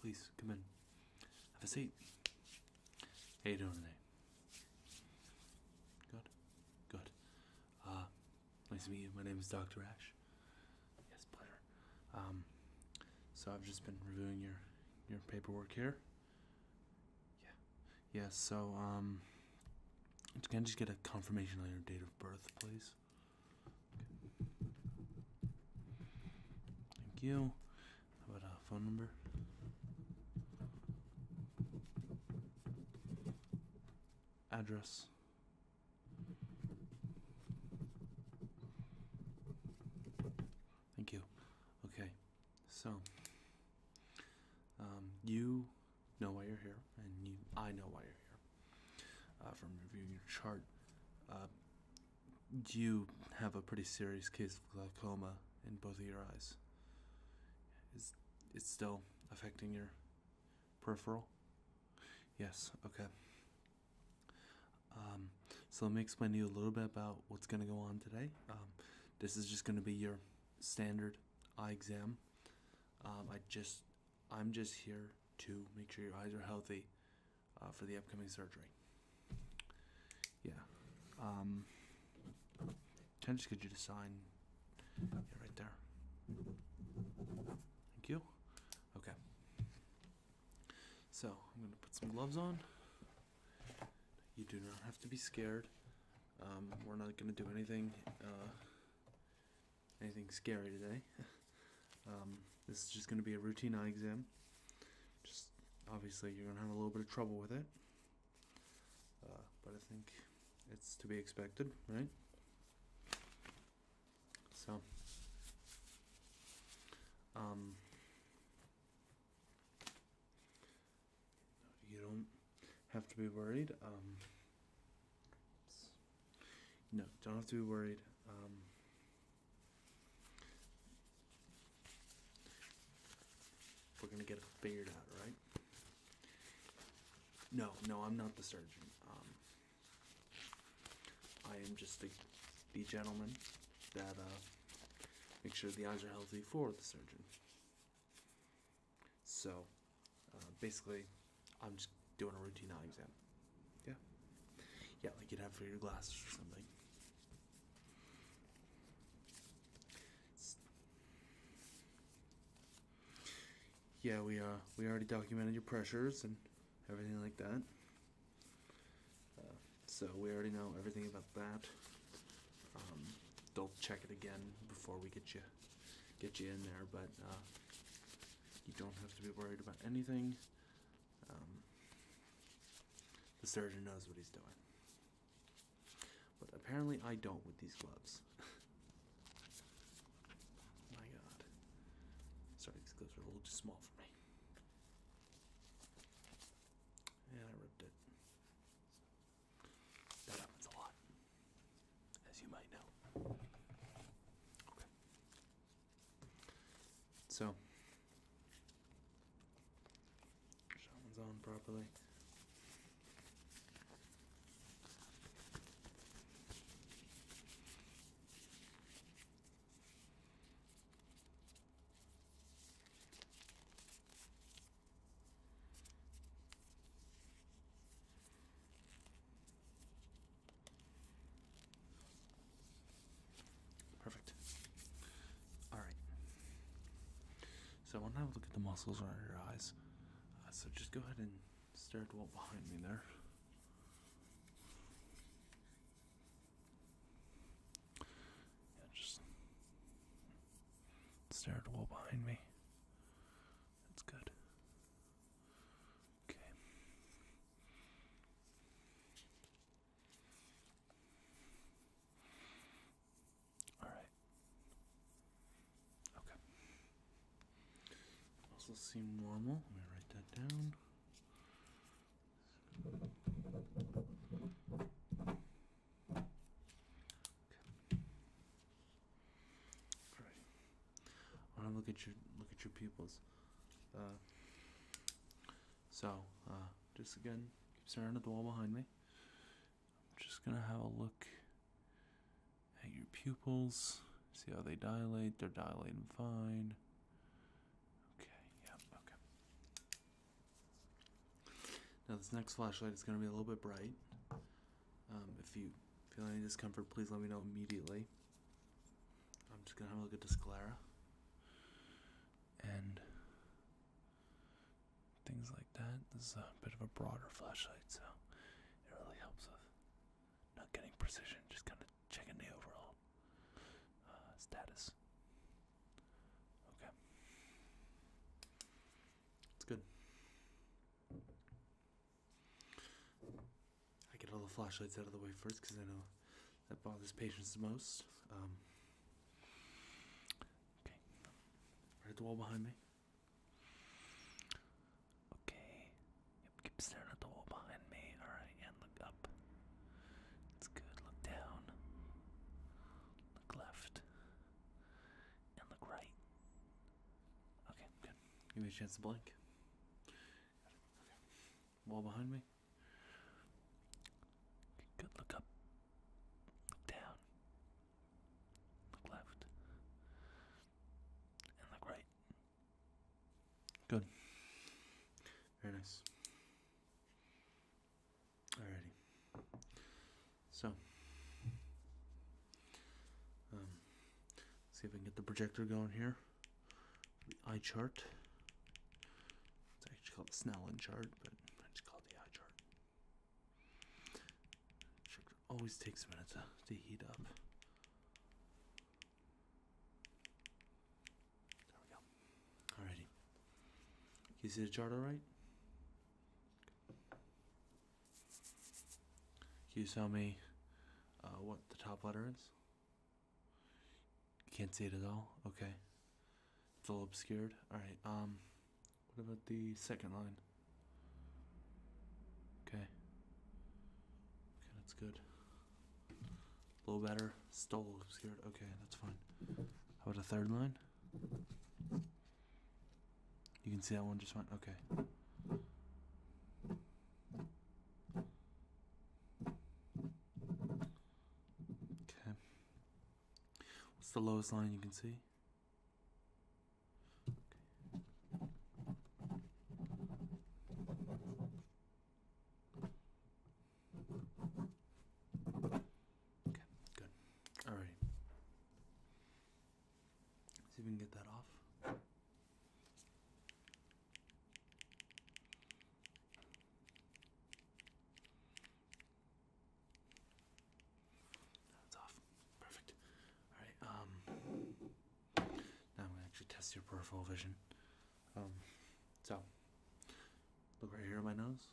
Please come in. Have a seat. How you doing today? Good. Good. Uh, nice to meet you. My name is Dr. Ash. Yes, pleasure. Um, so I've just been reviewing your your paperwork here. Yeah. Yeah, so, um, can I just get a confirmation on your date of birth, please? Thank you. How about a phone number? Address. Thank you. Okay, so um, you know why you're here, and you, I know why you're here. Uh, from reviewing your chart, uh, you have a pretty serious case of glaucoma in both of your eyes. Is it still affecting your peripheral? Yes, okay. Um, so let me explain to you a little bit about what's going to go on today. Um, this is just going to be your standard eye exam. Um, I just, I'm just here to make sure your eyes are healthy uh, for the upcoming surgery. Yeah. Um, can I just get you to sign? right there. Thank you. Okay. So I'm gonna put some gloves on. You do not have to be scared. Um, we're not going to do anything, uh, anything scary today. Um, this is just going to be a routine eye exam. Just obviously you're going to have a little bit of trouble with it, uh, but I think it's to be expected, right? So, um, you don't have to be worried. Um, no, don't have to be worried. Um, we're gonna get it figured out, right? No, no, I'm not the surgeon. Um, I am just the, gentleman that uh, make sure the eyes are healthy for the surgeon. So uh, basically, I'm just doing a routine eye exam. Yeah. Yeah, like you'd have for your glasses or something. Yeah, we uh we already documented your pressures and everything like that. Uh, so we already know everything about that. Um, they'll check it again before we get you get you in there, but uh, you don't have to be worried about anything. Um, the surgeon knows what he's doing. But apparently I don't with these gloves. My god. Sorry, these gloves are a little too small for me. And I ripped it. That happens a lot, as you might know. Okay. So, shaman's on properly. Perfect. All right. So I will now look at the muscles around your eyes. Uh, so just go ahead and stare at what behind me there just stare at the wall behind me. That's good. Okay. All right. Okay. Also seem normal. Let me write that down. I want to look at your look at your pupils. Uh, so, uh, just again, keep staring at the wall behind me. I'm just gonna have a look at your pupils. See how they dilate. They're dilating fine. Okay. Yeah. Okay. Now this next flashlight is going to be a little bit bright. Um, if you feel any discomfort, please let me know immediately. I'm just going to have a look at this sclera and things like that. This is a bit of a broader flashlight, so it really helps with not getting precision, just kind of checking the overall uh, status. Okay. It's good. I get all the flashlights out of the way first because I know that bothers patients the most. Um, okay. Right at the wall behind me. Okay. keep staring at the wall behind me. Alright, and look up. It's good. Look down. Look left. And look right. Okay, good. Give me a chance to blink. Okay. Wall behind me. Good. Look up. Look down. Look left. And look right. Good. Very nice. Alrighty. So, um, see if I can get the projector going here. The eye chart. It's actually called the Snellen chart, but I just call it the eye chart. always takes a minute to heat up. There we go. Alrighty. You see the chart alright? Can you tell me uh, what the top letter is? can't see it at all? Okay. It's a little obscured. Alright, um, what about the second line? Okay. Okay, that's good. A little better. Stole. Scared. Okay, that's fine. How about a third line? You can see that one just went. Okay. Okay. What's the lowest line you can see? Okay, good. Alrighty. See if we can get that off. That's off. Perfect. Alright, um now I'm gonna actually test your peripheral vision. Um, so Look right here on my nose.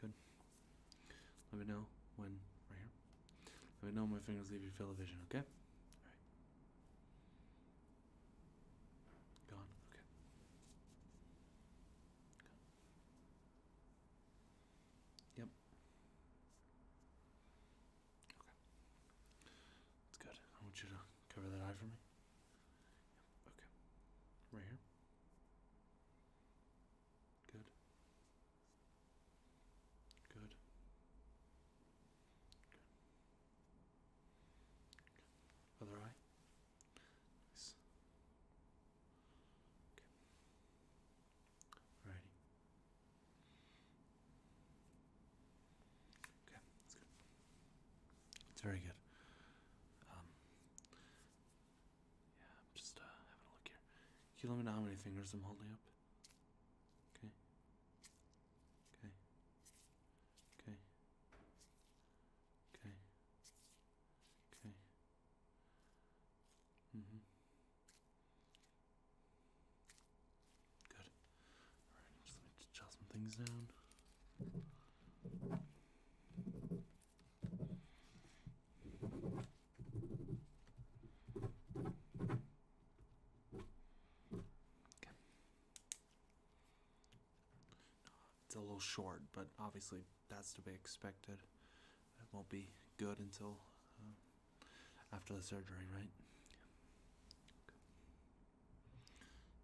Good. Let me know when right here. Let me know my fingers leave your field of vision, okay? Alright. Gone, okay. Good. Yep. Okay. That's good. I want you to cover that eye for me. Okay. Right here. Good. Good. Other eye. Nice. Okay. Alrighty. Okay, that's good. It's very good. Um, yeah, I'm just uh, having a look here. Can you let me know how many fingers I'm holding up? Okay. Okay. Okay. Okay. Okay. Mm-hmm. Good just jot some things down. Okay. It's a little short, but obviously that's to be expected. It won't be good until uh, after the surgery, right?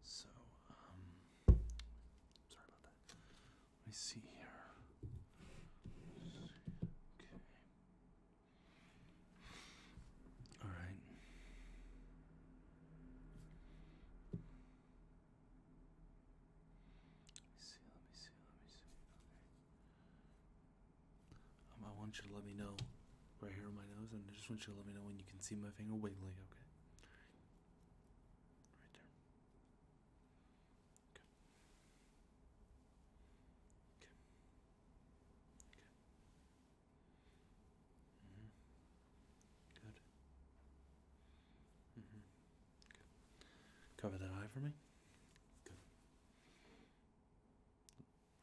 So, um, sorry about that. Let me see here. Okay. All right. Let me see, let me see, let me see. Okay. Um, I want you to let me know right here on my nose, and I just want you to let me know when you can see my finger wiggling, okay? Right there. Okay. Okay. Okay. Mm-hmm. Good. Mm-hmm. Good. Cover that eye for me. Good.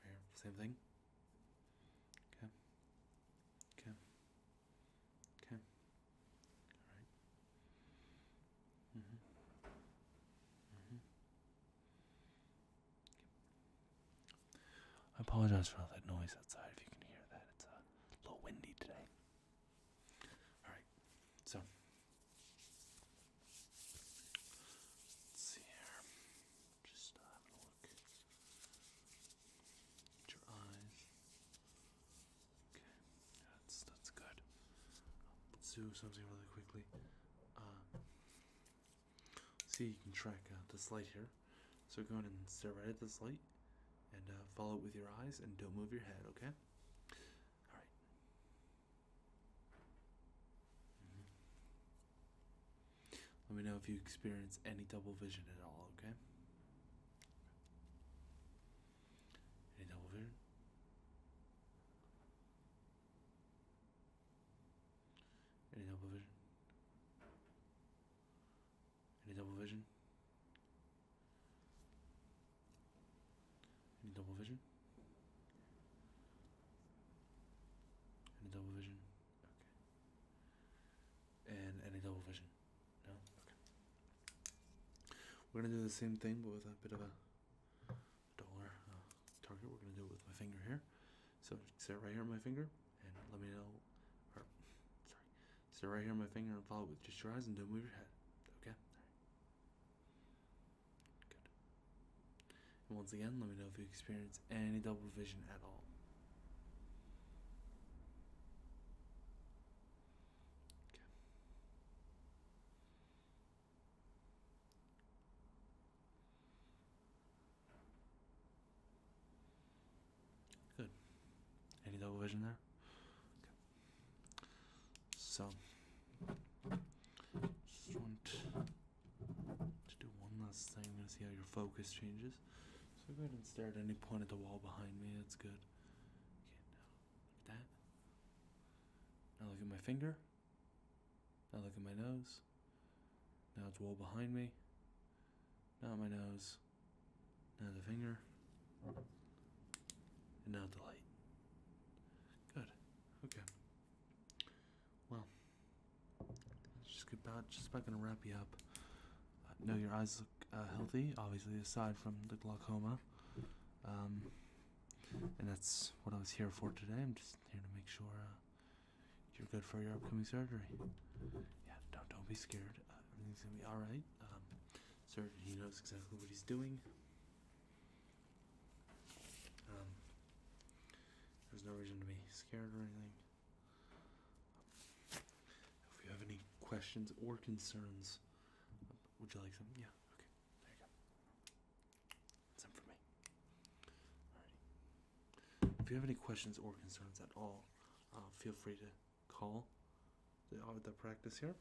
Here, same thing. Okay. Okay. Okay. All right. Mhm. Mhm. I apologize for all that noise outside. If you can hear that, it's a little windy today. All right. So. Let's see here. Just having a look at your eyes. Okay, that's that's good. Let's do something really quickly. Um, see, you can track uh, the slide here. So go ahead and stare right at the slide, and uh, follow it with your eyes, and don't move your head. Okay. All right. Mm-hmm. Let me know if you experience any double vision at all, okay? Any double vision? Any double vision? Any double vision? Any double vision? Any double vision? And any double vision? No? Okay. We're going to do the same thing, but with a bit of a dollar uh, target. We're going to do it with my finger here. So, sit right here on my finger and let me know. sorry. Sit right here on my finger and follow with just your eyes and don't move your head. Okay? Good. And once again, let me know if you experience any double vision at all. Good. Any double vision there? So, let do one last thing. I'm gonna see how your focus changes. So go ahead and stare at any point at the wall behind me. That's good. Okay, now look at that. Now look at my finger. Now look at my nose. Now it's wall behind me. Now my nose. Now the finger. And now the light. Good. Okay. Well, just about just about gonna wrap you up. I know your eyes look uh, healthy, obviously, aside from the glaucoma. Um, and that's what I was here for today. I'm just here to make sure uh, you're good for your upcoming surgery. Yeah, don't don't be scared. Uh, everything's gonna be all right. Um, surgeon, he knows exactly what he's doing. Um, there's no reason to be scared or anything. If you have any questions or concerns, would you like some? Yeah, okay. There you go. Some for me. Alrighty. If you have any questions or concerns at all, uh, feel free to call the, uh, the practice here.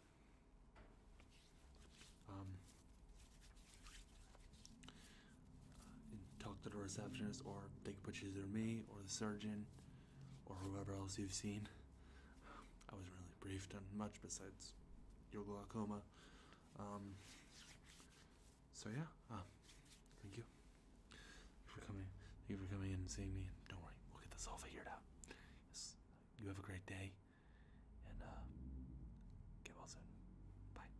Um, talk to the receptionist, or they can put you through me, or the surgeon, or whoever else you've seen. I was really briefed on much besides your glaucoma. Um, so yeah, uh, thank you. for coming. Thank you for coming in and seeing me. And don't worry, we'll get this all figured out. Yes, you have a great day, and uh, get well soon. Bye.